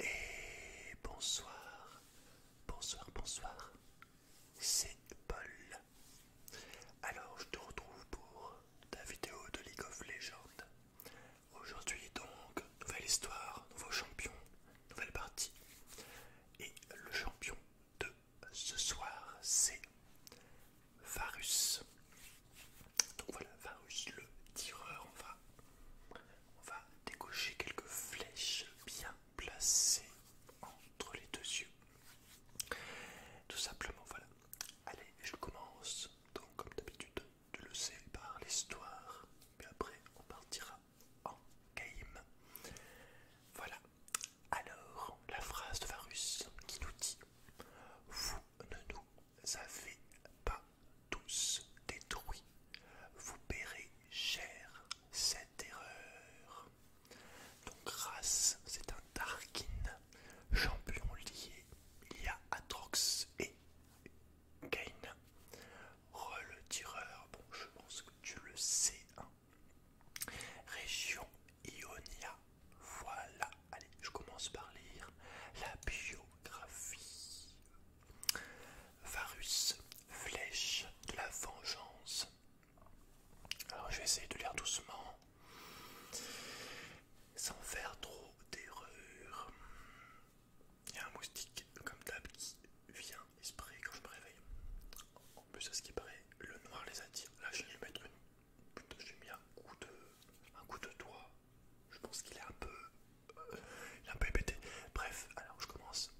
Et bonsoir, bonsoir, bonsoir, c'est Paul. Alors, je te retrouve pour ta vidéo de League of Legends. Aujourd'hui, donc, nouvelle histoire, nouveau champion, nouvelle partie. Et le champion de ce soir, c'est Varus. Donc voilà, Varus le tireur, enfin. On va décocher quelques flèches bien placées entre les deux yeux. Tout simplement, voilà. Allez, je commence, donc comme d'habitude, tu le sais, par l'histoire. mais après, on partira en game. Voilà. Alors, la phrase de Varus qui nous dit Vous ne nous avez pas tous détruits. Vous paierez cher cette erreur. Donc Race, c'est un Tarkin, champion lié. Il y a Atrox et Gain. »« Re le tireur, bon je pense que tu le sais. Hein. Région Ionia. Voilà, allez, je commence par lire la biographie. Varus, flèche de la vengeance. Alors je vais essayer de lire doucement, sans faire trop d'erreurs. Il y a un moustique comme table qui vient esprit quand je me réveille. En plus, à ce qui paraît, le noir les attire. Là, je vais mettre une, j'ai un coup de, un coup de doigt je pense qu'il est un peu... Euh, il est un peu Bref, alors je commence.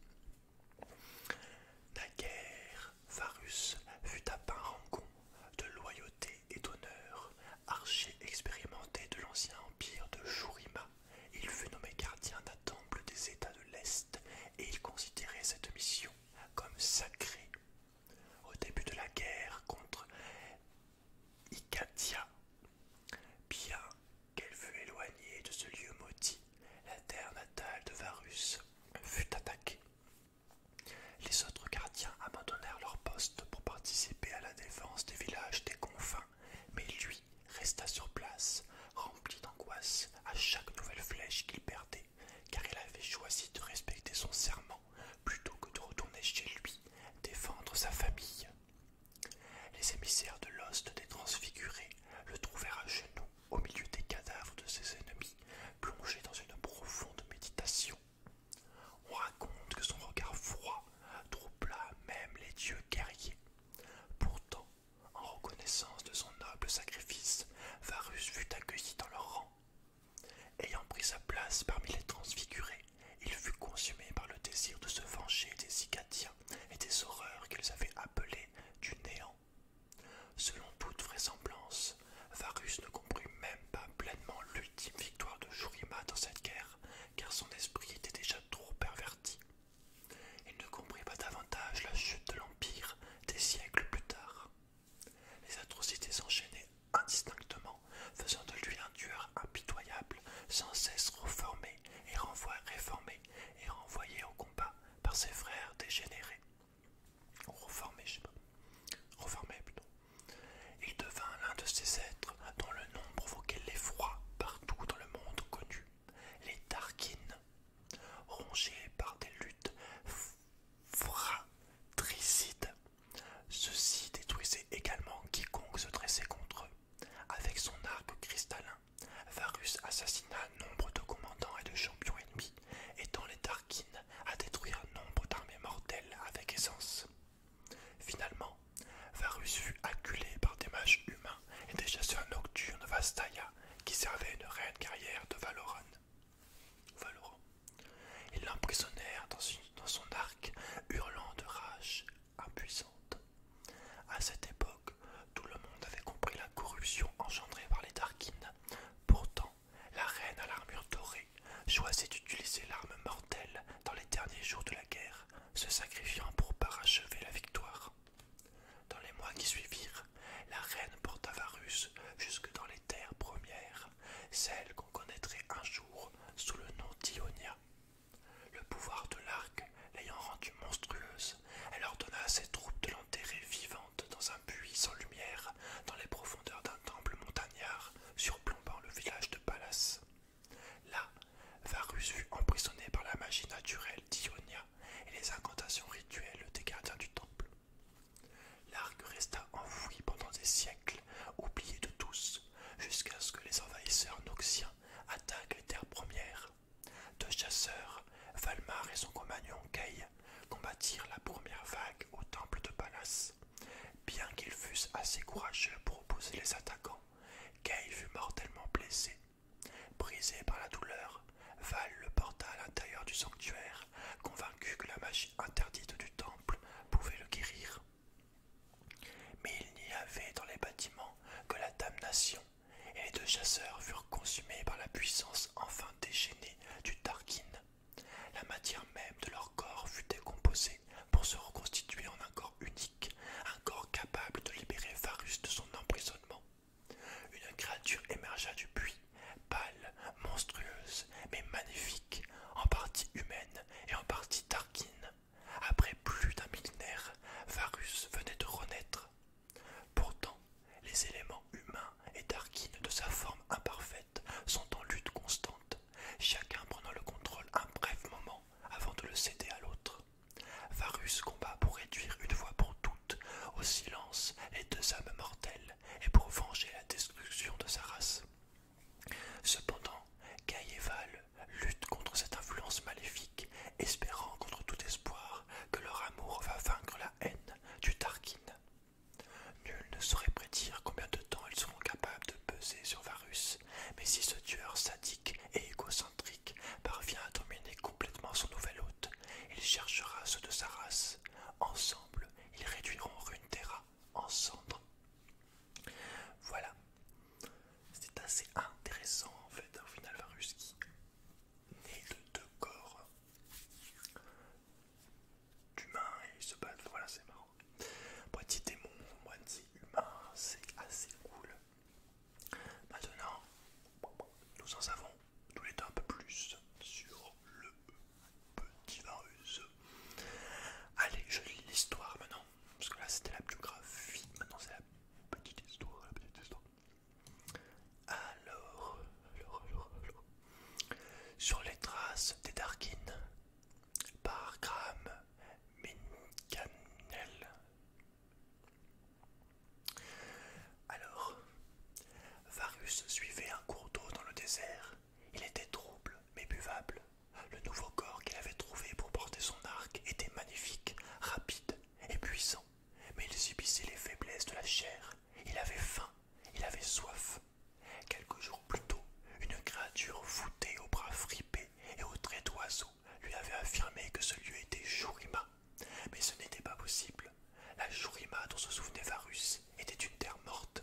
La guerre. Varus fut à pain rangon de loyauté et d'honneur, archer expérimenté de l'ancien empire de Shurima. Il fut nommé gardien d'un temple des États de l'Est et il considérait cette mission comme sacrée. Au début de la guerre contre Icatia. Bien qu'elle fût éloignée de ce lieu maudit, la terre natale de Varus fut attaquée. Les autres gardiens abandonnèrent leur poste pour participer à la défense des villages des confins, mais lui resta sur place, rempli d'angoisse à chaque nouvelle flèche qu'il perdait, car il avait choisi de respecter son serment plutôt que de retourner chez lui défendre sa famille. Les émissaires de l'hoste des transfigurés le trouvèrent à genoux au milieu des cadavres de ses ennemis, plongés dans une profonde méditation. On raconte que son regard froid troubla même les dieux guerriers. Pourtant, en reconnaissance de son noble sacrifice, Varus fut accueilli dans leur rang. Ayant pris sa place parmi les transfigurés, il fut consumé par le désir de se venger des Icatiens et des horreurs qu'ils avaient appelées du néant. Selon toute vraisemblance, Varus ne comprit même pas pleinement l'ultime victoire de Jurima dans cette guerre, car son esprit était déjà trop perverti. Il ne comprit pas davantage la chute de l'Empire des siècles plus tard. Les atrocités s'enchaînaient indistinctement, faisant de lui un tueur impitoyable, sans cesse reformé et, renvoyé au combat par ses frères dégénérés. Reformé, je sais pas. plutôt. Il devint l'un de ces êtres dont le nom provoquait l'effroi partout dans le monde connu, les Tarkin, rongés par des luttes fratricides. Ceux-ci détruisaient également quiconque se dressait contre eux. Avec son arc cristallin, Varus assassina nombre de commandants et de champions ennemis, aidant les tarquines à détruire nombre d'armées mortelles avec essence. Finalement, Varus fut acculé par des mages humains et des chasseurs nocturnes Vastaya qui servaient une reine guerrière de Valoran. Ils l'emprisonnèrent dans son arc, hurlant de rage impuissante. À cette époque, tout le monde avait compris la corruption engendrée par les Tarkins. Pourtant, la reine à l'armure dorée choisit d'utiliser l'arme mortelle dans les derniers jours de la guerre, se sacrifiant pour parachever la victoire. Dans les mois qui suivirent, la reine porta Varus jusque dans les terres premières, celles qu'on connaîtrait un jour sous le nom d'Ionia. Le pouvoir de l'arc l'ayant rendue monstrueuse, elle ordonna à ses troupes de l'enterrer vivante dans un puits sans lumière, dans les profondeurs d'un temple montagnard surplombant le village de Pallas. Là, Varus fut emprisonné par la magie naturelle d'Ionia et les incantations rituelles des gardiens du temple. L'arc resta enfoui pendant des siècles, oublié de tous, jusqu'à ce que les envahisseurs noxiens Attaque les terres premières. Deux chasseurs, Valmar et son compagnon Kay, combattirent la première vague au temple de Pallas. Bien qu'ils fussent assez courageux pour opposer les attaquants, Kay fut mortellement blessé. Brisé par la douleur, Val le porta à l'intérieur du sanctuaire, convaincu que la magie interdite du temple pouvait le guérir. Mais il n'y avait dans les bâtiments que la damnation, et les deux chasseurs furent consumés par la puissance enfin déchaînée du Tarkin. La matière même de leur corps fut décomposée pour se reconstituer en un corps unique, un corps capable de libérer Varus de son emprisonnement. Une créature émergea du puits, pâle, monstrueuse, mais magnifique, en partie humaine et en partie Tarkin. Après plus d'un millénaire, Varus venait de renaître. Pourtant, les éléments humains et Darkine de sa forme imparfaite sont en lutte constante, chacun prenant le contrôle un bref moment avant de le céder à l'autre. Varus combat pour réduire une fois pour toutes au silence les deux âmes mortelles et pour venger la destruction de sa race. Cependant, Gaïeval luttent contre cette influence maléfique, espérant contre tout espoir que leur amour va vaincre la haine du Tarkin. Nul ne saurait prédire combien de temps ils seront capables de peser sur Varus, mais si ce tueur sadique et égocentrique parvient à dominer complètement son nouvel hôte, il cherchera ceux de sa race. Ensemble, ils réduiront Runeterra en cendres. Voilà, c'est assez intéressant en fait, un final Varus qui naît de deux corps d'humains et ils se battent, voilà c'est marrant. Moitié démon, moitié humain, c'est assez cool. Maintenant, nous en savons tous les deux un peu plus sur le petit Varus. Allez, je lis l'histoire maintenant. Parce que là c'était la biographie, maintenant c'est la petite histoire, la petite histoire. Alors, alors, alors, Sur les traces des Darkin par Graham Mincanel. Alors, Varus suivait un cours d'eau dans le désert. Il était trouble mais buvable. Le nouveau corps qu'il avait trouvé pour porter son arc était magnifique, rapide et puissant, mais il subissait les faiblesses de la chair. Il avait faim, il avait soif. Quelques jours plus tôt, une créature voûtée aux bras fripés et aux traits d'oiseau lui avait affirmé que ce lieu était Shurima. Mais ce n'était pas possible. La Shurima dont se souvenait Varus était une terre morte.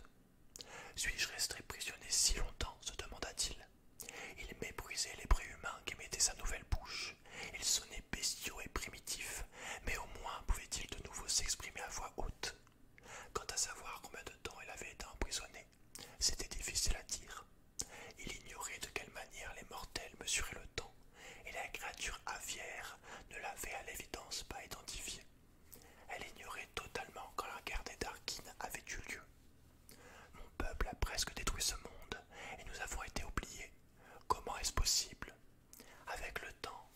Suis-je resté prisonnier si longtemps se demanda-t-il. Il méprisait les qui mettait sa nouvelle bouche. Il sonnait bestiaux et primitifs, mais au moins pouvait-il de nouveau s'exprimer à voix haute. Quant à savoir combien de temps il avait été emprisonné, c'était difficile à dire. Il ignorait de quelle manière les mortels mesuraient le temps, et la créature aviaire ne l'avait à l'évidence pas identifié. Elle ignorait totalement quand la guerre des avait eu lieu, mon peuple a presque détruit ce monde et nous avons été oubliés. Comment est-ce possible Avec le temps,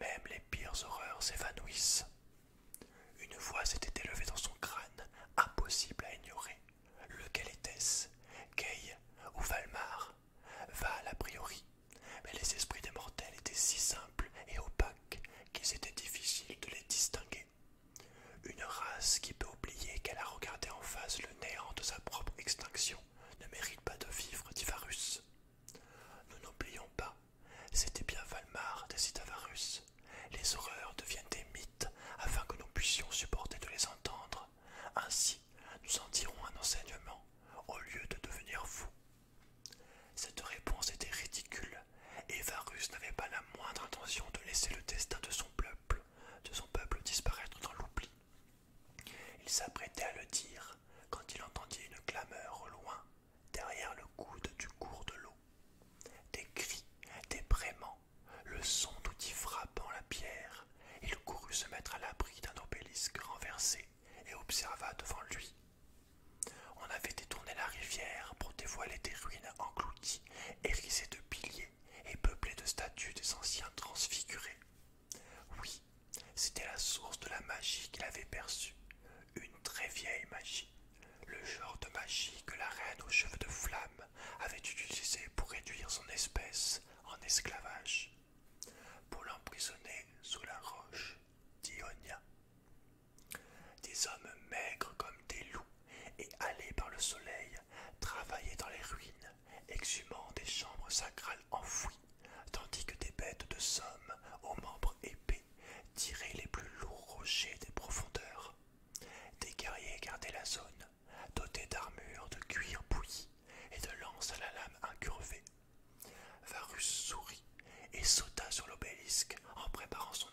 même les pires horreurs s'évanouissent. Une voix s'était élevée dans son crâne, impossible à ignorer. Lequel était-ce ou Valmar Val a priori. Mais les esprits des mortels étaient si simples et opaques qu'il était difficile de les distinguer. Une race qui peut oublier qu'elle a regardé en face le néant de sa propre extinction ne mérite pas de vivre, dit Varus. Nous n'oublions pas, c'était bien Valmar, décida Varus. Les horreurs deviennent des mythes afin que nous puissions supporter de les entendre. Ainsi, nous en tirons un enseignement au lieu de devenir fous. Cette réponse était ridicule, et Varus n'avait pas la moindre intention de laisser le destin de son peuple de son peuple disparaître dans l'oubli. Il s'apprêtait à le dire quand il entendit une clameur au loin, derrière le coude du cours de l'eau. Des cris, des braiements, le son d'outils frappant la pierre. Il courut se mettre à l'abri d'un obélisque renversé et observa devant lui. On avait détourné la rivière pour dévoiler des ruines englouties, hérissées de piliers et peuplé de statues des anciens transfigurés. Oui, c'était la source de la magie qu'il avait perçue, une très vieille magie, le genre de magie que la reine aux cheveux de flamme avait utilisée pour réduire son espèce en esclavage, pour l'emprisonner sous la roche d'Ionia. Des hommes maigres comme des loups et allés par le soleil, travaillaient dans les ruines, exhumant des chambres sacrales enfouies, tandis que des bêtes de somme aux membres épais tiraient les plus lourds rochers des profondeurs. Des guerriers gardaient la zone, dotés d'armures de cuir bouilli et de lances à la lame incurvée. Varus sourit et sauta sur l'obélisque en préparant son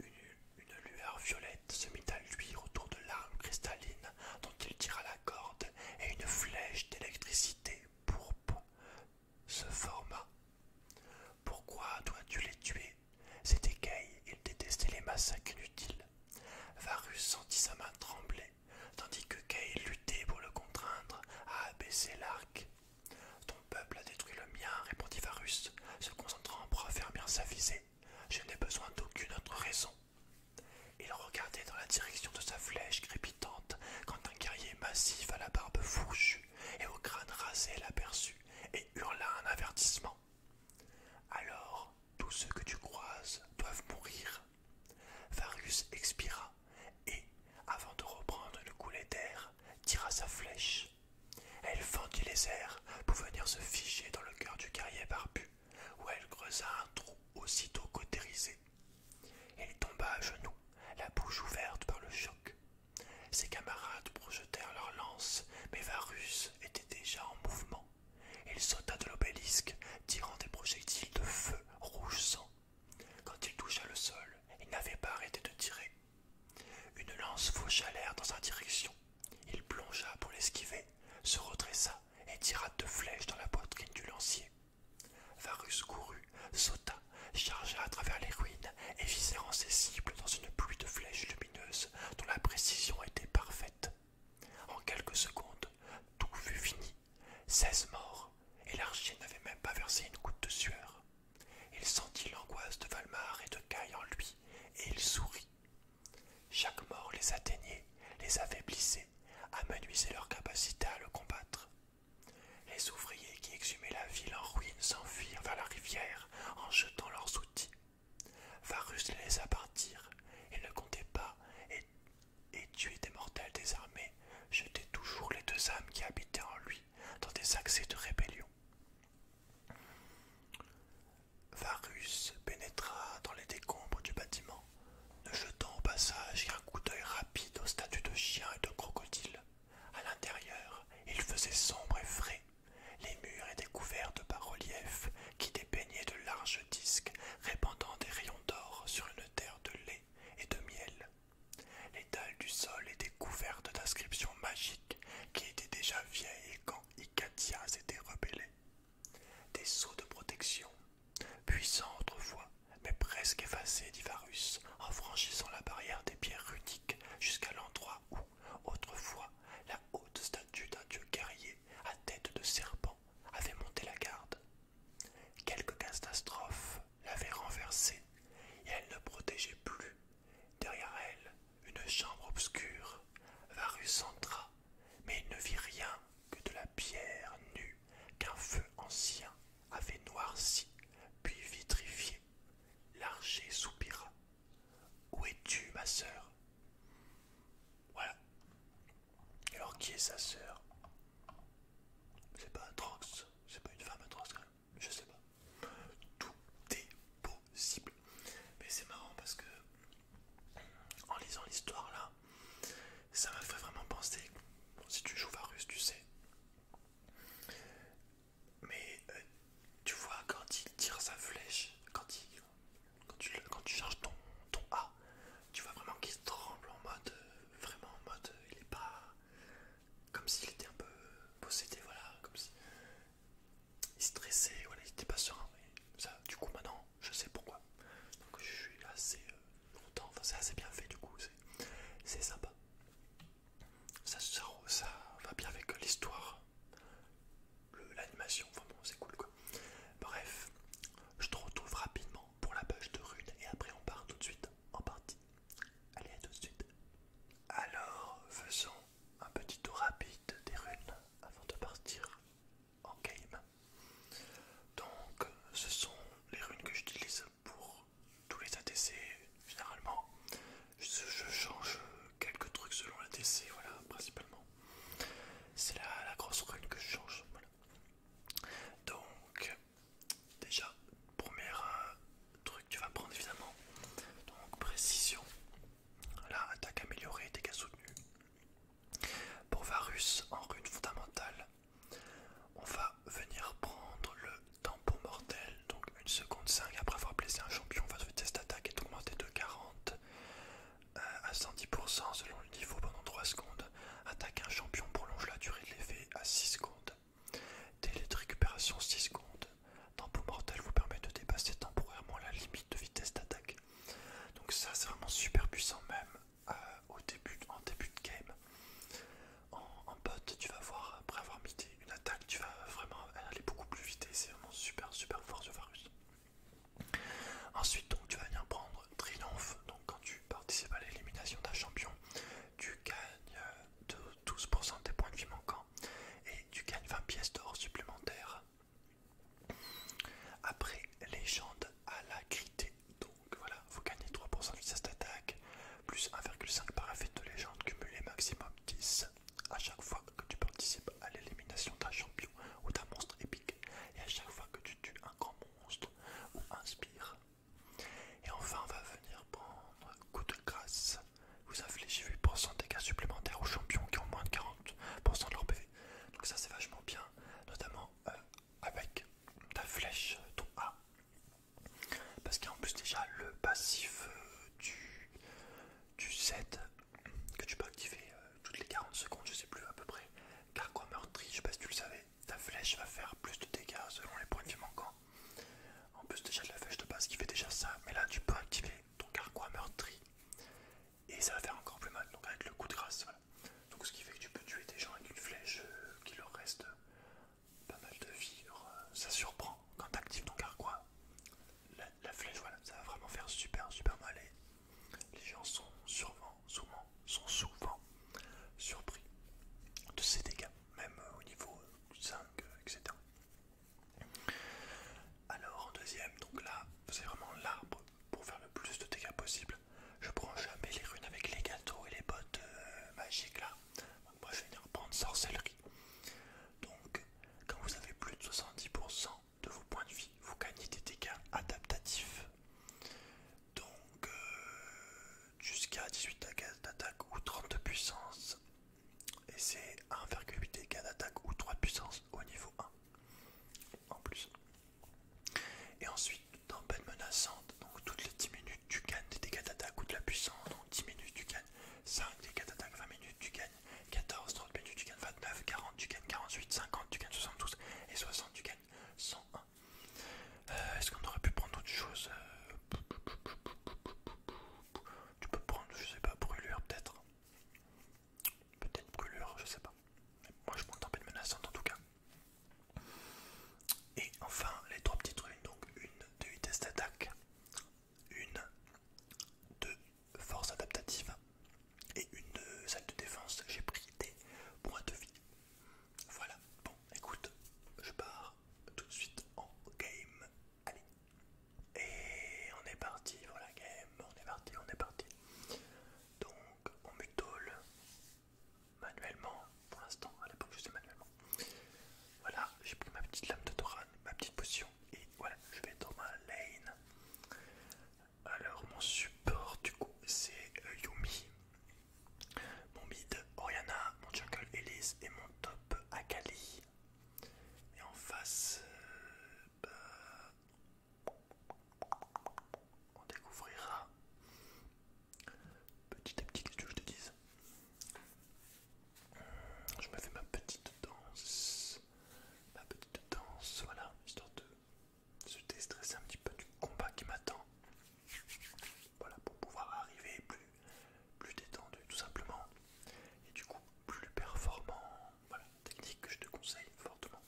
une, lueur violette se mit à luire autour de l'arme cristalline dont il tira la corde, et une flèche d'électricité pourpre se forma. Pourquoi dois-tu les tuer C'était Kay, il détestait les massacres inutiles. Varus sentit sa main trembler, tandis que kaye luttait pour le contraindre à abaisser l'arc. Ton peuple a détruit le mien, répondit Varus, se concentrant pour bien sa visée. Je n'ai besoin d'aucune autre raison. Il regardait dans la direction de sa flèche crépitante quand un guerrier massif à la barbe fourchue et au crâne rasé l'aperçut et hurla un avertissement. Alors, tous ceux que tu croises doivent mourir. Varus expira et, avant de reprendre le coulet d'air, tira sa flèche. Elle fendit les airs pour venir se figer dans le cœur du guerrier barbu, où elle creusa un trou aussitôt cautérisé. Il tomba à genoux, la bouche ouverte par le choc. Ses camarades projetèrent leurs lances, mais Varus était déjà en mouvement. Il sauta de l'obélisque, tirant des projectiles de feu rouge sang. Quand il toucha le sol, il n'avait pas arrêté de tirer. Une lance faucha l'air dans sa direction, il plongea pour l'esquiver, se redressa et tira deux flèches dans la poitrine du lancier. Varus courut, sauta, chargea à travers les ruines et visèrent ses cibles dans une pluie de flèches lumineuses dont la précision était parfaite. En quelques secondes, tout fut fini. Seize morts, et l'archer n'avait même pas versé une goutte de sueur. Il sentit l'angoisse de Valmar et de Caille en lui, et il sourit. Chaque mort les atteignait, les affaiblissait, amenuisait leur capacité à le combattre. Les ouvriers qui exhumaient la ville en ruine s'enfuirent vers la rivière en jetant leurs outils. Varus les laissa partir, il ne comptait pas, et, et tuer des mortels désarmés jetait toujours les deux âmes qui habitaient en lui dans des accès de rébellion. Varus pénétra dans les décombres du bâtiment, ne jetant au passage qu'un coup d'œil rapide aux statues de chiens et de crocodiles. À l'intérieur, il faisait sombre et frais. Les murs étaient couverts de bas-reliefs qui dépeignaient de larges disques répandant des rayons d'or sur une terre de lait et de miel. Les dalles du sol étaient couvertes d'inscriptions magiques qui étaient déjà vieilles et et rebellée. rebellés. Des sceaux de protection, puissants autrefois, mais presque effacés d'Ivarus, en franchissant la barrière des pierres runiques jusqu'à l'endroit où, autrefois, la haute statue d'un dieu guerrier à tête de serpent avait monté la garde. Quelques catastrophes l'avaient renversée, et elle ne protégeait plus Derrière elle, une chambre obscure. Varus entra, mais il ne vit rien que de la pierre nue qu'un feu ancien avait noirci, puis vitrifié. L'archer soupira. Où es-tu, ma sœur Voilà. Alors, qui est sa sœur C'est pas un Trox. c'est pas une femme Trox. quand même. Je sais pas. Tout est beau cible. Mais c'est marrant parce que en lisant l'histoire là, ça m'a fait vraiment penser. si tu joues Varus, tu sais. Mais euh, tu vois, quand il tire sa flèche, quand, il, quand, tu, charges ton, ton A, tu vois vraiment qu'il tremble en mode. Euh, vraiment en mode. Euh, il est pas. Comme s'il était un peu possédé, voilà. Comme si, il stressait, voilà, il était pas serein. ça, du coup, maintenant, je sais pourquoi. Donc, je suis assez euh, content. Enfin, c'est assez bien fait, du coup, c'est sympa. Ça, va bien avec l'histoire, l'animation. Enfin, bon, c'est cool, quoi. Bref, je te retrouve rapidement pour la page de runes. et après, on part tout de suite en partie. Allez, à tout de suite. Alors, faisons un petit tour rapide des runes avant de partir en game. Donc ce sont les runes que j'utilise pour tous les ATC généralement. Je, change quelques trucs selon l'ATC, voilà, principalement. C'est la, grosse rune que je change. Donc déjà, premier euh, truc truc, tu vas prendre évidemment. Donc précision, Là, attaque améliorée, dégâts soutenus. Pour Varus, en rune fondamentale, on va venir prendre le tampon mortel, donc 1 seconde 5 après avoir blessé un champion, votre va se test attaque est augmenté de 40 euh, à 110% selon le niveau pendant 3 secondes. Attaque un champion prolonge la durée de l'effet à 6 secondes. Délai de récupération 6 secondes. Tempo mortel vous permet de dépasser temporairement la limite de vitesse d'attaque. Donc ça c'est vraiment super puissant même euh, au début, en début de game. En, pote tu vas voir, après avoir mité une attaque, tu vas vraiment aller beaucoup plus vite et c'est vraiment super super fort ce Varus. Ensuite donc tu vas venir prendre Triomphe, donc quand tu participes à l'élimination d'un champion, tu gagnes 12% euh, des points de vie manquants et tu gagnes 20 pièces d'or supplémentaires après, légende à la crité. Donc voilà, vous gagnez 3% de vitesse d'attaque, plus 1,5 par de légende cumulé maximum 10 à chaque fois que tu participes à l'élimination d'un champion ou d'un monstre épique, et à chaque fois que tu tues un grand monstre ou un Et enfin, on va venir prendre coup de grâce vous infligez 8% de dégâts supplémentaires aux champions qui ont moins de 40% de leur PV. Donc ça c'est vachement bien, notamment euh, avec ta flèche, ton A. Parce qu'en plus déjà le passif euh, du, Z que tu peux activer euh, toutes les 40 secondes, je sais plus à peu près, car quoi meurtri, je sais pas si tu le savais, ta flèche va faire plus de dégâts selon les points de vie manquants. En plus déjà de la flèche de base qui fait déjà ça, mais là tu peux activer ton carquois meurtri et ça va faire encore plus mal, donc avec le coup de grâce, Donc ce qui fait que tu peux tuer des gens avec une flèche euh, qui leur reste euh, pas mal de vie, euh, ça surprend quand tu actives ton carquois, la, flèche, voilà, ça va vraiment faire super super mal et les gens sont souvent, sont souvent surpris de ces dégâts, même au niveau 5, etc. Alors en deuxième, donc là, vous avez vraiment l'arbre pour faire le plus de dégâts possible. Je prends jamais les runes avec les gâteaux et les bottes euh, magiques là. moi je vais venir prendre sorcellerie. Donc quand vous avez plus de 70% de vos points de vie, vous gagnez des dégâts adaptatifs. Donc euh, jusqu'à 18 d'attaque ou 30 de puissance et c'est 1,8 dégâts d'attaque ou 3 de puissance au niveau 1 en plus. Et ensuite, peine menaçante, donc toutes les 10 minutes tu gagnes des dégâts d'attaque ou de la puissance, donc 10 minutes tu gagnes 5 dégâts d'attaque, 20 minutes tu gagnes 14, 30 minutes tu gagnes 29, 40 tu gagnes 48, 50 tu gagnes 72 et 60 tu gagnes 101. Euh, est-ce qu'on aurait pu prendre autre chose euh, Tu peux prendre, je sais pas, brûlure peut-être peut-être brûlure, je sais pas. Moi je prends tempête menaçante en tout cas. Et enfin les trois petites ruines, donc une de vitesse d'attaque, une de force adaptative et une de salle de défense. J'ai pris des points de vie. Voilà, bon écoute, je pars tout de suite en game Allez, et on est parti pour la game, on est parti, on est parti. Donc on mutole manuellement, pour l'instant, à l'époque je sais manuellement. Voilà, j'ai pris ma petite lame de Doran, ma petite potion, et voilà, je vais dans ma lane. Alors mon support du coup c'est euh, Yumi, mon mid Oriana, mon jungle Elise et mon top Akali. Et en face, euh, on découvrira petit à petit qu'est-ce que je te dise. Je me fais ma petite danse, ma petite danse, voilà, histoire de se déstresser un petit peu du combat qui m'attend. Voilà, pour pouvoir arriver plus détendu tout simplement, et du coup plus performant voilà, technique que je te conseille fortement.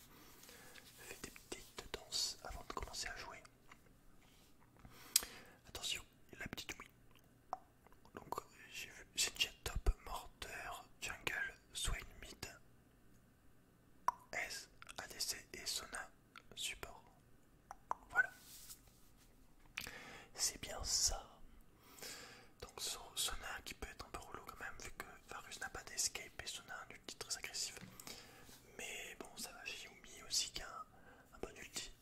Fais des petites danses avant de commencer à jouer. Attention, la petite oui. Donc euh, j'ai vu Jet Top, morteur Jungle, Swain Mid, S, ADC et Sona support. Voilà. C'est bien ça. Donc Sona qui peut être un peu rouleau quand même vu que Varus n'a pas d'escape et Sona a un ulti très agressif. Mais bon ça va chez Yumi aussi qu'un un, bon ulti.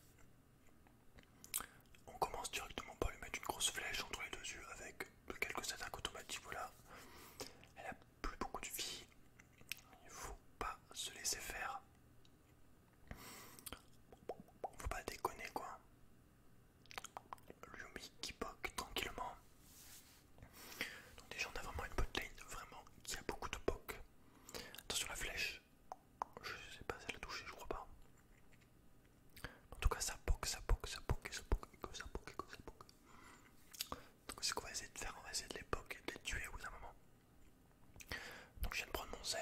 On commence directement par lui mettre une grosse flèche entre les deux yeux avec quelques attaques automatiques voilà. Elle a plus beaucoup de vie. Il faut pas se laisser faire. Faut pas déconner quoi. Lumi qui poque tranquillement. Donc déjà on a vraiment une botlane vraiment qui a beaucoup de poke. Attention la flèche. Je sais pas si elle a touché, je crois pas. En tout cas ça poke, ça poke, ça poke, ça poke, ça poke, ça poke. Ça poke. Donc c'est qu'on va essayer de faire, on va essayer de les poke et de les tuer au bout d'un moment. Donc je viens de prendre mon Z.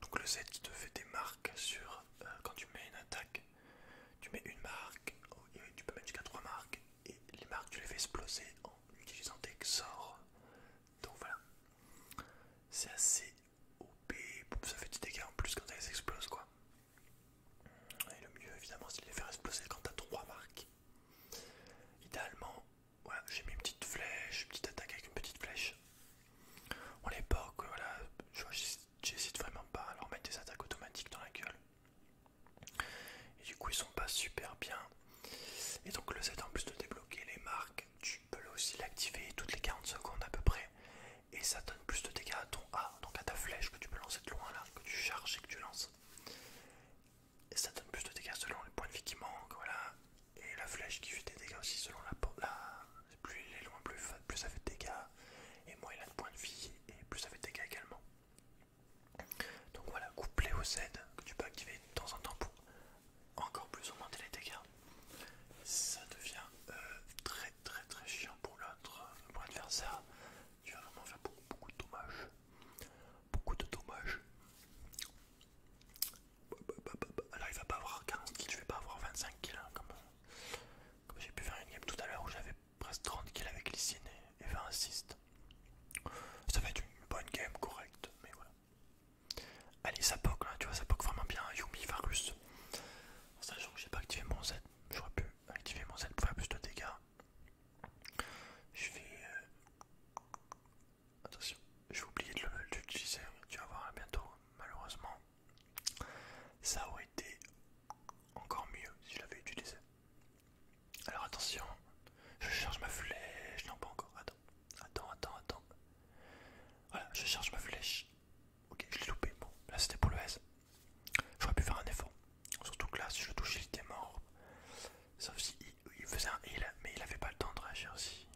Donc le Z qui te fait des marques sur euh, quand tu mets une attaque, tu mets une marque, oh, tu peux mettre jusqu'à trois marques et les marques tu les fais exploser en utilisant des sorts. Donc voilà, c'est assez OP, ça fait du dégât en plus quand elles explosent quoi. Et le mieux évidemment c'est de les faire exploser quand t'as trois marques. Idéalement, j'ai mis une petite flèche, une petite attaque avec une petite flèche. On les voilà, voilà, j'hésite vraiment pas à leur mettre des attaques automatiques dans la gueule. Et du coup, ils sont pas super bien. Et donc, le Z, en plus de débloquer les marques, tu peux aussi l'activer toutes les 40 secondes à peu près. Et ça donne plus de dégâts à ton A, donc à ta flèche que tu peux lancer de loin là, que tu charges et que tu lances. Et ça donne plus de dégâts selon les points de vie qui manquent, voilà et la flèche qui fait des dégâts aussi selon la porte. Là, plus il est loin, plus, plus ça fait de dégâts, et moins il a de points de vie, et plus ça fait de dégâts également. Donc voilà, couplé au Z que tu peux activer de temps en temps pour encore plus augmenter les dégâts, ça devient euh, très très très chiant pour l'autre, euh, pour l'adversaire. Tu vas vraiment faire beaucoup, beaucoup de dommages. Beaucoup de dommages. Alors il va pas avoir 40 kills, je vais pas avoir 25 kills hein, comme, j'ai pu faire une game tout à l'heure où j'avais presque 30 kills avec Lysine et, et 20 Ça va être une bonne game correcte, mais voilà. Allez, ça poque là, tu vois, ça poque vraiment bien. Yumi Varus, un sachant que j'ai pas activé mon Z, j'aurais pu activer mon Z pour faire plus de dégâts. Je vais. Euh, Attention, j'ai oublié de l'utiliser, tu vas voir hein, bientôt, malheureusement. Ça aurait été encore mieux si je l'avais utilisé. Alors attention, je charge ma flèche. Non, pas encore, attends, attends, attends, attends. Voilà, je charge ma flèche. Ok, je l'ai loupé. Bon, là c'était pour le S. J'aurais pu faire un effort. Surtout que là, si je le touchais, il était mort. Sauf si il, faisait un heal, mais il avait pas le temps de réagir aussi.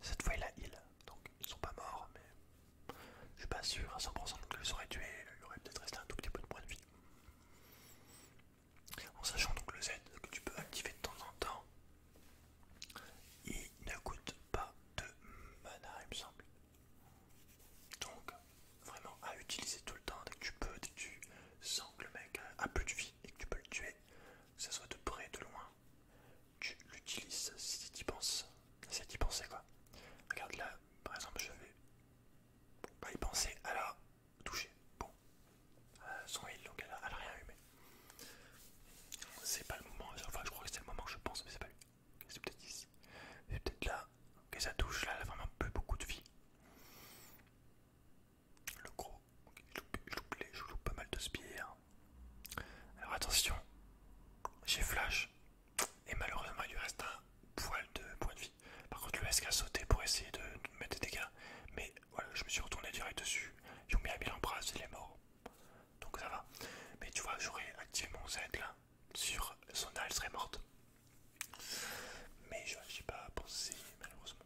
cette fois, il a heal, donc ils sont pas morts, mais je suis pas sûr à 100% que je les aurais tués, il aurait peut-être resté un tout petit peu de points de vie. En sachant donc le Z que tu peux activer de temps en temps, il ne coûte pas de mana, il me semble. Donc, vraiment à utiliser tout le temps dès que tu peux, dès que tu sens que le mec a plus de vie et que tu peux le tuer, que ce soit de près, de loin, tu l'utilises si tu y penses. y penser quoi. Regarde là, par exemple, je vais y penser à la toucher. Bon, euh, son il, donc elle a, rien eu, mais c'est pas le moment. Enfin, je crois que c'est le moment que je pense, mais c'est pas lui. c'est peut-être ici. C'est peut-être là. Ok, ça touche. Là, elle a vraiment plus beaucoup de vie. Le gros, je loupe, pas mal de spires, Alors attention, j'ai flash. Et malheureusement, il lui reste un poil de point de vie. Par contre, le SK a sauter pour essayer de, mettre des dégâts. Mais voilà, je me suis retourné direct dessus. J'ai ont mis à mille il est mort. Donc ça va. Mais tu vois, j'aurais activé mon Z là. Sur son elle serait morte. Mais je n'ai pas pensé, malheureusement.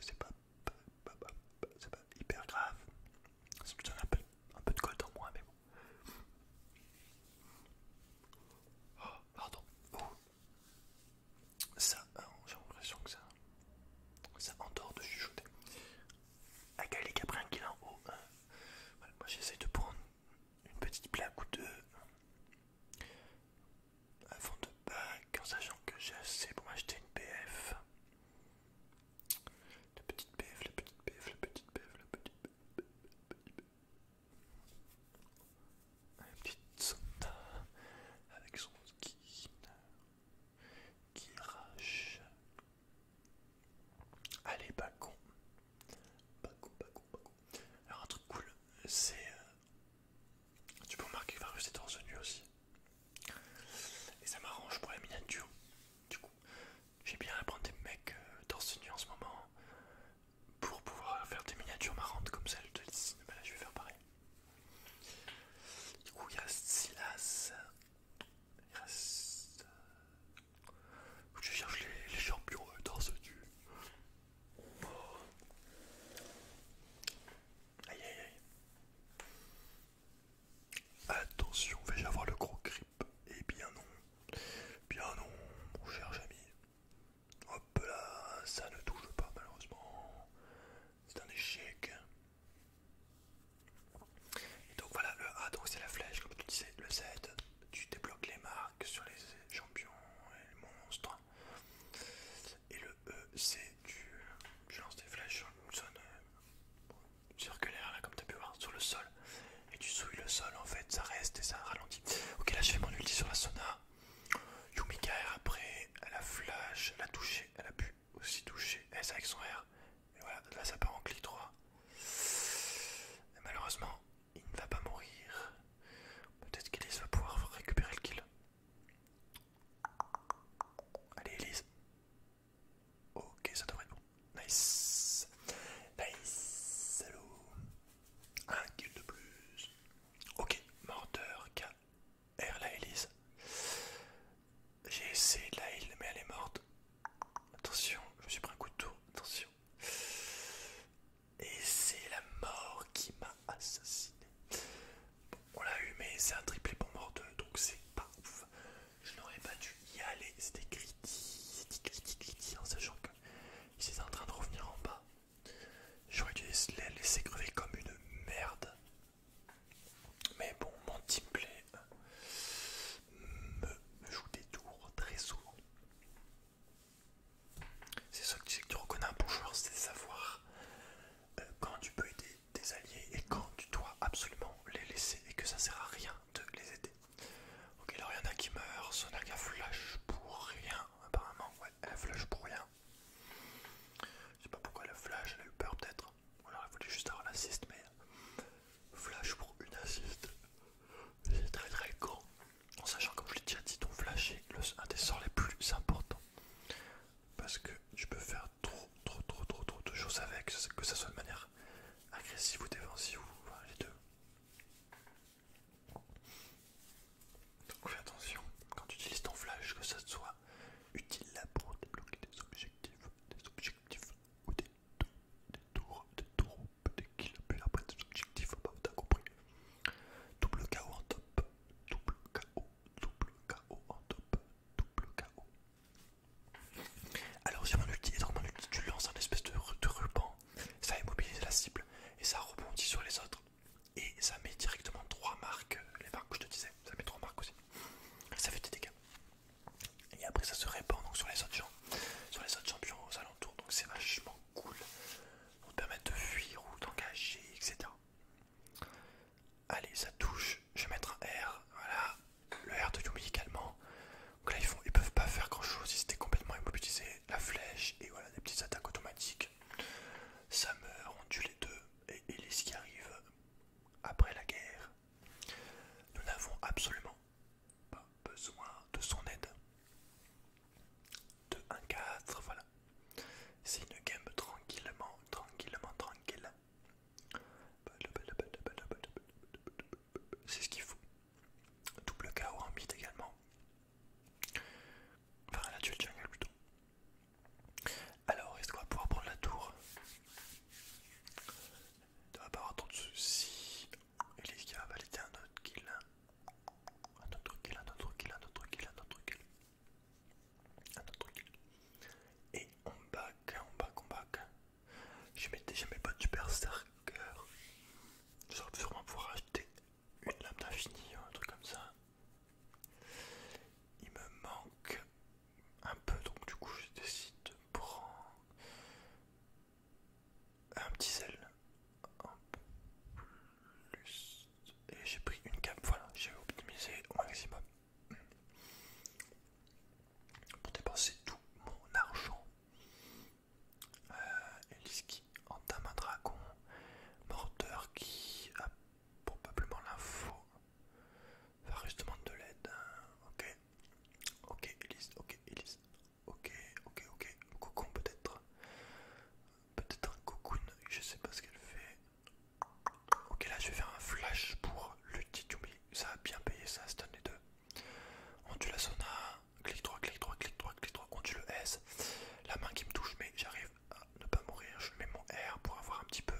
C'est pas, hyper grave. c'est me un peu, de colle dans moi, mais bon. Oh, pardon. Oh. Ça, euh, j'ai l'impression que ça, ça endort de chuchoter. Avec les Caprin qui est en haut. Euh, moi j'essaie de prendre une petite plaque ou deux. Avant de bac en sachant que j'ai assez pour m'acheter une PF. La petite PF, la petite PF, la petite PF, la petite PF. La petite Santa avec son skin qui rache. Allez, pas con. Pas con, Alors, un truc cool, c'est euh, tu peux remarquer que Varus est torse aussi. Et ça m'arrange pour la miniature. Du coup, j'ai bien à prendre des mecs euh, torse nu en ce moment pour pouvoir faire des miniatures marrantes comme celle de Disney. mais là, je vais faire pareil. Du coup, il reste Silas. Il reste. Euh, je cherche les, les champions torse Aïe aïe aïe. Attention, vais-je avoir le gros grip Eh bien non. Bien non, mon cher ami. Hop là, ça ne touche pas malheureusement. C'est un échec. Et donc voilà, le A, donc c'est la flèche, comme tu disais, le Z, tu débloques les marques sur les champions et les monstres. Et le E, c'est du. tu lance des flèches hein, sur euh, circulaire, là, comme tu as pu voir, sur le sol. Et tu souilles le sol, en fait, ça reste et ça ralentit. Ok, là, je fais mon ulti sur la Sona. Yumika R après, elle a flash, elle a touché, elle a pu aussi toucher S avec son R. Et voilà, là, ça part en clic 3. malheureusement, il ne va pas mourir. Peut-être qu'Elise va pouvoir récupérer le kill. Allez, Elise. Ok, ça devrait être bon. Nice. Nice. Allo Un kill de plus. Ok, morteur R la Elise. J'ai essayé la il mais elle est morte. Attention, je me suis pris un coup de tour. Attention. Et c'est la mort qui m'a assassiné. Bon, on l'a eu, mais c'est un triplé pour morte, donc c'est pas ouf. Je n'aurais pas dû y aller. C'était criti, en sachant qu'ils étaient en train de revenir en bas. J'aurais dû les laisser crever comme une merde. Mais bon, mon teamplay euh, me joue des tours très souvent. C'est ça que tu sais que tu reconnais un bon joueur, c'est savoir euh, quand tu peux aider tes alliés et quand tu dois absolument les laisser et que ça sert à rien de les aider. Ok, alors il y en a qui meurent, Sonaga flash pour rien, apparemment, ouais, elle flash pour rien. Je sais pas pourquoi elle flash, elle a eu peur peut-être, ou alors elle voulait juste avoir l'assist, mais flash pour une assist, c'est très très con. En sachant, comme je l'ai déjà dit, ton flash est un des sorts les plus importants parce que tu peux faire trop, trop, trop, trop, trop de choses avec, que ça soit de manière agressive ou défensive, ou les deux. Donc fais attention quand tu utilises ton flash que ça soit utile pour débloquer des objectifs, des objectifs ou des, des tours, des tours, des kills, après des objectifs, bah, t'as compris. Double KO en top. Double KO. Double KO en top. Double KO. Alors sur mon ulti, tu lances un espèce de, ruban, ça immobilise la cible et ça rebondit sur les autres. Et ça met directement 3 marques, les marques que je te disais, ça met 3 marques aussi. Ça fait des dégâts. Et après ça se répand donc sur les autres gens, sur les autres champions aux alentours, donc c'est vachement cool. pour te permet de fuir ou d'engager, etc. Allez, ça touche. Je vais mettre un R. Voilà, le R de Yumi également. Donc là, ils, font, ils peuvent pas faire grand chose. Ils étaient complètement immobilisés. La flèche, et voilà, des petites attaques automatiques. Ça meurt, on tue les deux. Et les qui arrive après la guerre. Nous n'avons absolument pas besoin de son aide. 2, 1, 4, voilà. C'est une game tranquillement, tranquillement, tranquille. C'est ce qu'il faut. Double KO en mid également. Enfin, la duel jungle plutôt. Alors, est-ce qu'on va pouvoir prendre la tour On va pas avoir trop de soucis. Elise qui va valider un autre kill. Un autre kill, un autre kill, un autre kill, un autre kill. Et on back, on back, on back. Je mettais jamais pas de super Je J'aurais sûrement pouvoir acheter une lame d'infini ou hein, un truc comme ça. Il me manque un peu, donc du coup je décide de prendre un petit sel en plus et j'ai pris une cape, voilà, j'ai optimisé au maximum pour dépenser tout mon argent. Elise euh, qui entame un dragon, Morteur qui a probablement l'info. va justement de l'aide. Hein. Ok, ok, Elise, ok, Elise, ok, ok, ok, cocon peut-être. Peut-être un cocoon, je sais pas ce qu'elle fait. Ok, là je vais faire un flash pour le Titumi. Ça a bien payé ça, stun les deux. On tue la sauna. Clic droit, clic droit, clic droit, clic droit. On tue le S. La main qui me touche, mais j'arrive à ne pas mourir. Je mets mon R pour avoir un petit peu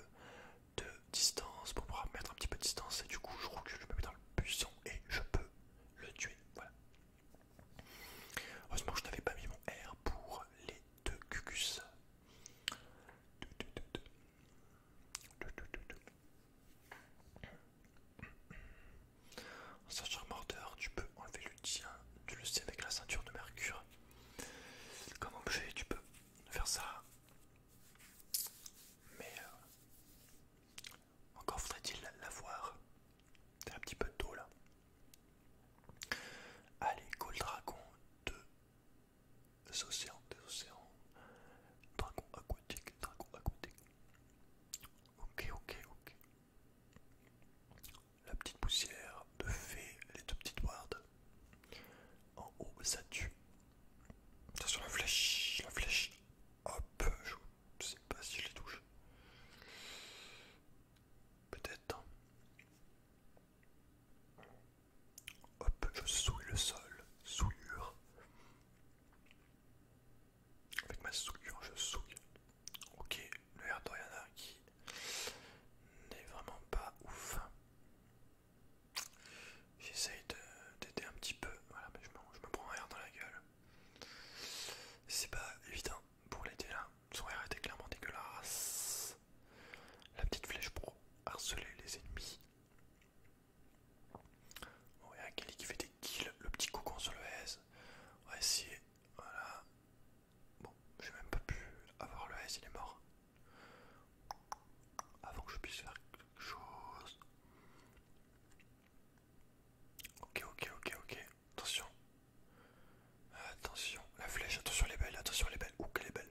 de distance, pour pouvoir mettre un petit peu de distance. Et du coup, je recule, je me mets dans le buisson et je peux le tuer. Voilà. Heureusement, je n'avais pas mis mon R pour les de Cucus. En sachant mordeur, tu peux enlever le tien, tu le sais avec la ceinture de mercure. Comme objet, tu peux faire ça. Mais euh, encore faudrait-il l'avoir. T'as un petit peu d'eau là. Allez, le Dragon de des océans, des océans. Dragon aquatique, dragon aquatique. Ok, ok, ok. La petite poussière de fée, les deux petites wards. En haut, ça tue. sur la flèche, la flèche. Hop, je sais pas si je les touche. Peut-être. Hop, je souille le sol. Souillure. Avec ma souillure, je souille. Ok, le air qui n'est vraiment pas ouf. J'essaye d'aider un petit peu. Voilà, mais je me, je me prends un air dans la gueule. C'est pas évident pour l'aider là. Son sont était clairement dégueulasse. La petite flèche pour harceler les ennemis. Ouais, Kelly qui fait des kills. Le petit cocon sur le S. On va essayer. Voilà. Bon, j'ai même pas pu avoir le S, il est mort. Avant que je puisse faire quelque chose. Ok, ok, ok, ok attention. Attention, la flèche, attention les belles, attention les belles. Ouh, elle est belle.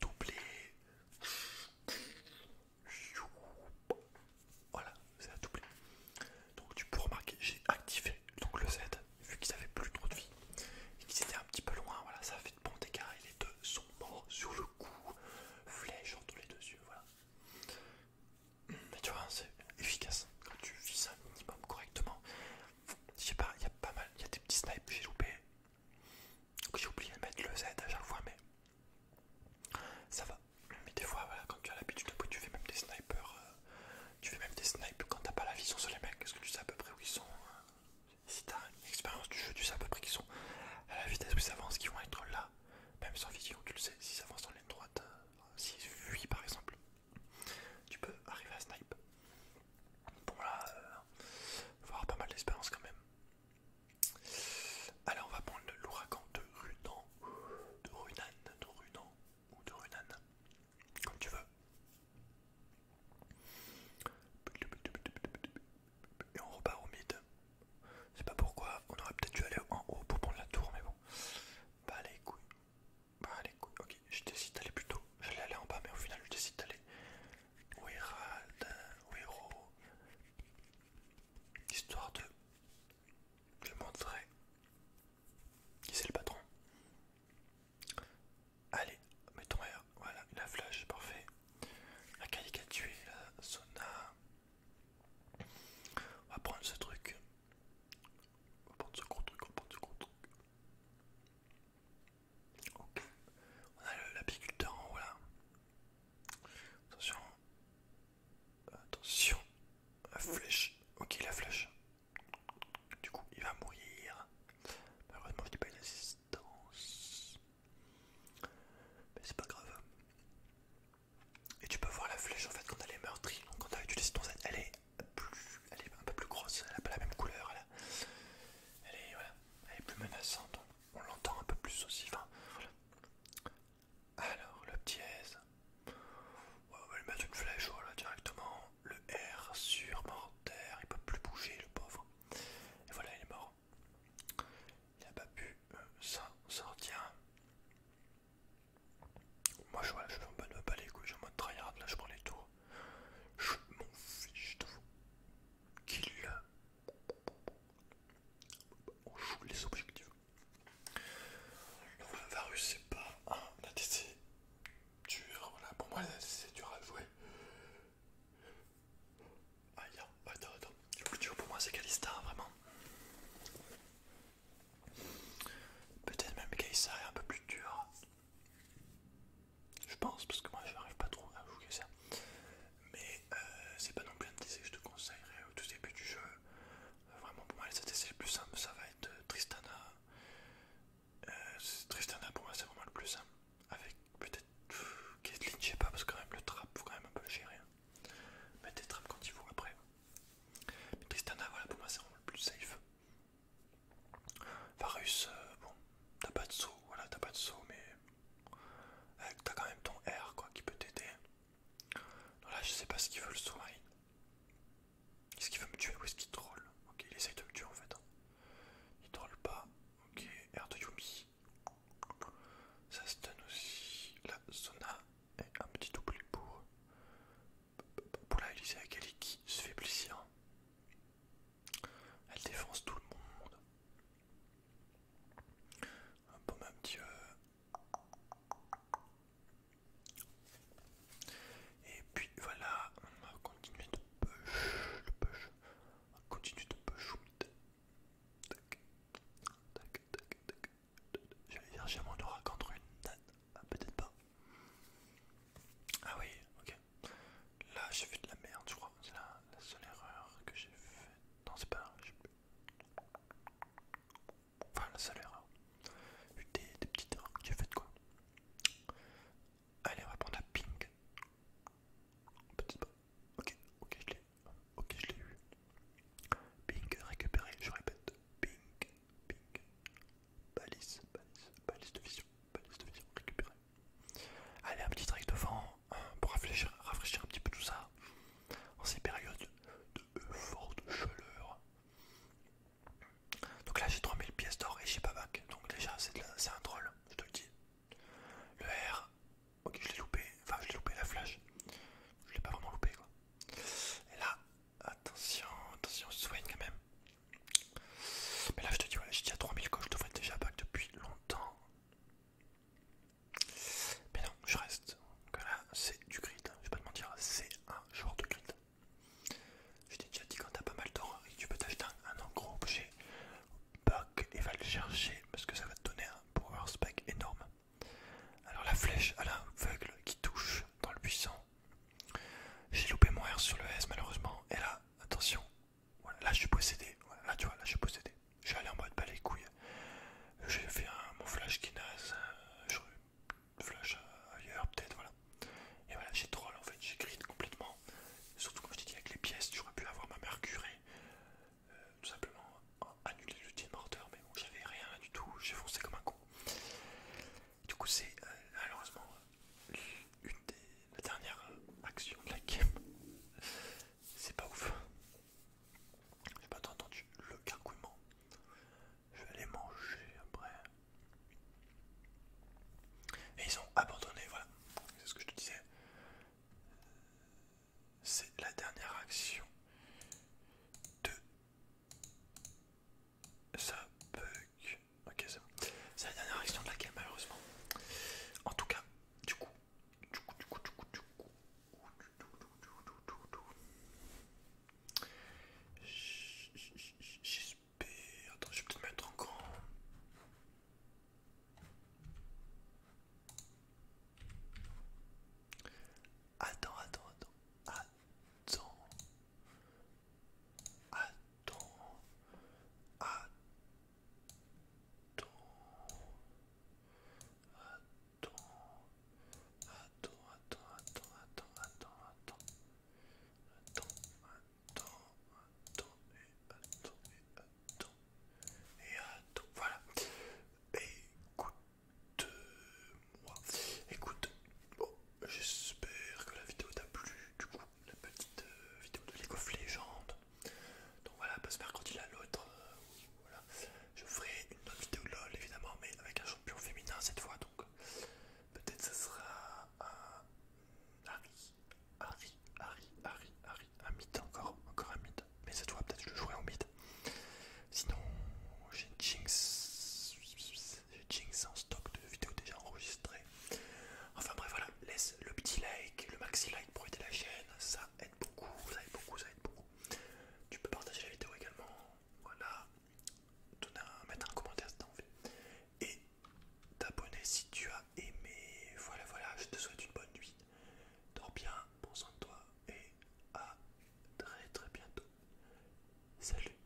doublé. Ah, voilà, c'est à doublé. Donc tu peux remarquer, j'ai activé donc le Z, vu qu'ils avaient plus trop de vie et qu'ils étaient un petit peu loin. Voilà, ça a fait de bons dégâts et les deux sont morts sur le coup. Flèche entre les deux yeux, voilà. Mais tu vois, c'est efficace. Quand tu vises un minimum correctement, je sais pas, il y a pas mal, il y a des petits snipes que j'ai loupé. j'ai oublié de mettre le Z à chaque fois, mais ça va. Mais des fois, voilà, quand tu as l'habitude, tu fais même des snipers. Euh, tu fais même des snipes quand t'as pas la vision sur les mecs, parce que tu sais à peu près où ils sont. Si euh, si t'as une expérience du jeu, tu sais à peu près qu'ils sont à la vitesse où ils avancent, qu'ils vont être là. Même sans vision, tu le sais, s'ils avancent dans l'aile droite, si euh, s'ils fuient par exemple, tu peux arriver à snipe. Bon là, euh, voir pas mal d'espérance quand même. Alors on va prendre l'ouragan de Runan, de Runan, de rudan ou de Runan, comme tu veux. Et on repart au mid. Je sais pas pourquoi, on aurait peut-être dû aller en haut pour prendre la tour, mais bon. Bah les couilles. Bah allez, ok, je décide d'aller plus tôt. J'allais aller en bas, mais au final, je décide d'aller. Weirad, Histoire de je montrerai qui c'est le patron. Allez, mettons R. Voilà, la flash, parfait. La qui a tué la Sona. On va prendre ce truc. On va prendre ce gros truc, on va prendre ce gros truc. Ok, on a l'apiculteur en haut là. Attention, attention, la flèche. Ok, la flèche. Du coup, il va mourir. Malheureusement, je n'ai pas une assistance. Mais c'est pas grave. Et tu peux voir la flèche en fait quand elle est meurtrie. Donc, quand tu utilisé ton Z, elle elle est un peu plus grosse, elle n'a pas la même couleur, elle, est, voilà, elle est plus menaçante, on l'entend un peu plus aussi. Alors le petit S, on va lui mettre une flèche directement, le R sur terre il peut plus bouger le pauvre. Et voilà, il est mort. Il n'a pas pu euh, s'en sortir. Moi je, vois je suis en mode quoi bah, je suis en mode tryhard, là je prends les tours. Je m'en fiche de vous. a On joue les objectifs. Donc le Varus c'est pas un ATC dur, voilà pour moi c'est dur à jouer. Aïe, attends, attends. Le plus dur pour moi c'est Kalista, vraiment. Peut-être même ça est un peu plus dur. Je pense, parce que moi j'arrive pas trop à jouer ça. Mais euh, c'est pas non plus un TC je te conseillerais au tout début du jeu. Vraiment pour moi les c'est le plus simple ça va être euh, Tristana. Euh, Tristana pour moi c'est vraiment le plus simple. Avec peut-être Caitlyn, je sais pas, parce que quand même le trap faut quand même un peu le gérer. Mais hein. Mettez trap quand il faut après. Tristana voilà pour moi c'est vraiment le plus safe. Varus, euh, bon, t'as pas de saut, voilà, t'as pas de saut, mais euh, t'as quand même ton R quoi qui peut t'aider. Là, je sais pas ce qu'il veut le saut Est-ce qu'il veut me tuer ou est-ce qu'il troll Ok, il essaye de me tuer en fait. Hein. Il troll pas. Ok, R de Yumi. Ça donne aussi. La zona, est un petit double pour pour la Elise Akali qui se fait plaisir. Elle défonce tout le monde. Bon, même euh. Et puis voilà, on va continuer de push, on va continuer de push. Tac, tac, tac, tac. J'allais dire, j'ai mon aura contre une date, ah, peut-être pas. Ah oui, ok. Là, j'ai fait de la merde, je crois. C'est la, seule erreur que j'ai faite. Non, c'est pas. Enfin, la seule erreur. Des, des petites erreurs que j'ai faites, quoi. Allez, on va prendre la pink. Ok, ok, je l'ai. Ok, je l'ai eu. Pink récupéré, je répète. Pink, pink, balise, balise, balise de vision, balise de vision, récupérer. Allez, un petit track devant hein, pour rafraîchir, un petit peu tout ça en ces périodes de forte chaleur. Donc là, j'ai 3000 pièces d'or et j'ai pas bac, donc déjà, c'est un troll, je te le dis. Le R, ok, je l'ai loupé, enfin, je l'ai loupé la flash, je l'ai pas vraiment loupé quoi. Et là, Attention, attention, soigne quand même. Mais là, je te dis, ouais, j'ai à 3000 coches, je devrais déjà back depuis longtemps. Mais non, je reste. Donc là, c'est du grid. Je vais pas te mentir, c'est un genre de grid. Je t'ai déjà dit, quand t'as pas mal d'or et tu peux t'acheter un, en gros objet, back et va le chercher parce que ça va te donner un power spec énorme. Alors la flèche à l'aveugle qui touche dans le buisson j'ai loupé mon R sur le S malheureusement. Et là, attention, là je suis possédé. là tu vois, là je suis possédé. Je suis allé en mode pas les couilles. J'ai fait un, mon flash qui naze. Euh, flash ailleurs peut-être, voilà. Et voilà, j'ai troll en fait, j'ai grid complètement. Surtout quand je t'ai dit avec les pièces, j'aurais pu avoir ma mercurée, euh, tout simplement annuler le de morteur, mais bon, j'avais rien du tout, j'ai foncé comme un con. Du coup, c'est euh, malheureusement euh, une des dernières euh, actions de la game. c'est pas ouf. J'ai pas entendu le gargouillement. Je vais aller manger après. Et ils ont abandonné, voilà. C'est ce que je te disais. C'est la dernière action de ça bug. Ok, c'est la dernière question de la game, malheureusement. En tout cas, du coup. Du coup, du coup, du coup, du coup. J'espère. Attends, je vais peut-être mettre en Attends, attends, attends. Attends. Attends. Attends. Attends. Attends, attends, attends, attends, attends, attends. Attends, attends, attends, et attends, et attends. Et attends, voilà. Écoute, Écoute, j'espère que la vidéo t'a plu, du coup, la petite euh, vidéo de League of Legends. Donc voilà, parce que il à l'autre, euh, voilà, je ferai une autre vidéo LOL évidemment, mais avec un champion féminin cette fois, donc peut-être ce sera un Harry, Harry, Harry, Harry, Harry, un mythe encore, encore un mythe, mais cette fois peut-être je le jouerai en mythe. Sinon, j'ai Jinx. J'ai Jing sans stock de vidéos déjà enregistrées. Enfin bref, voilà, laisse le petit like, le maxi like pour aider la chaîne, ça aide beaucoup, ça aide beaucoup, ça aide beaucoup. Tu peux partager la vidéo également, voilà, mettre un commentaire si t'as envie. Et t'abonner si tu as aimé. Voilà, voilà, je te souhaite une bonne nuit. Dors bien, prends soin de toi et à très très bientôt. Salut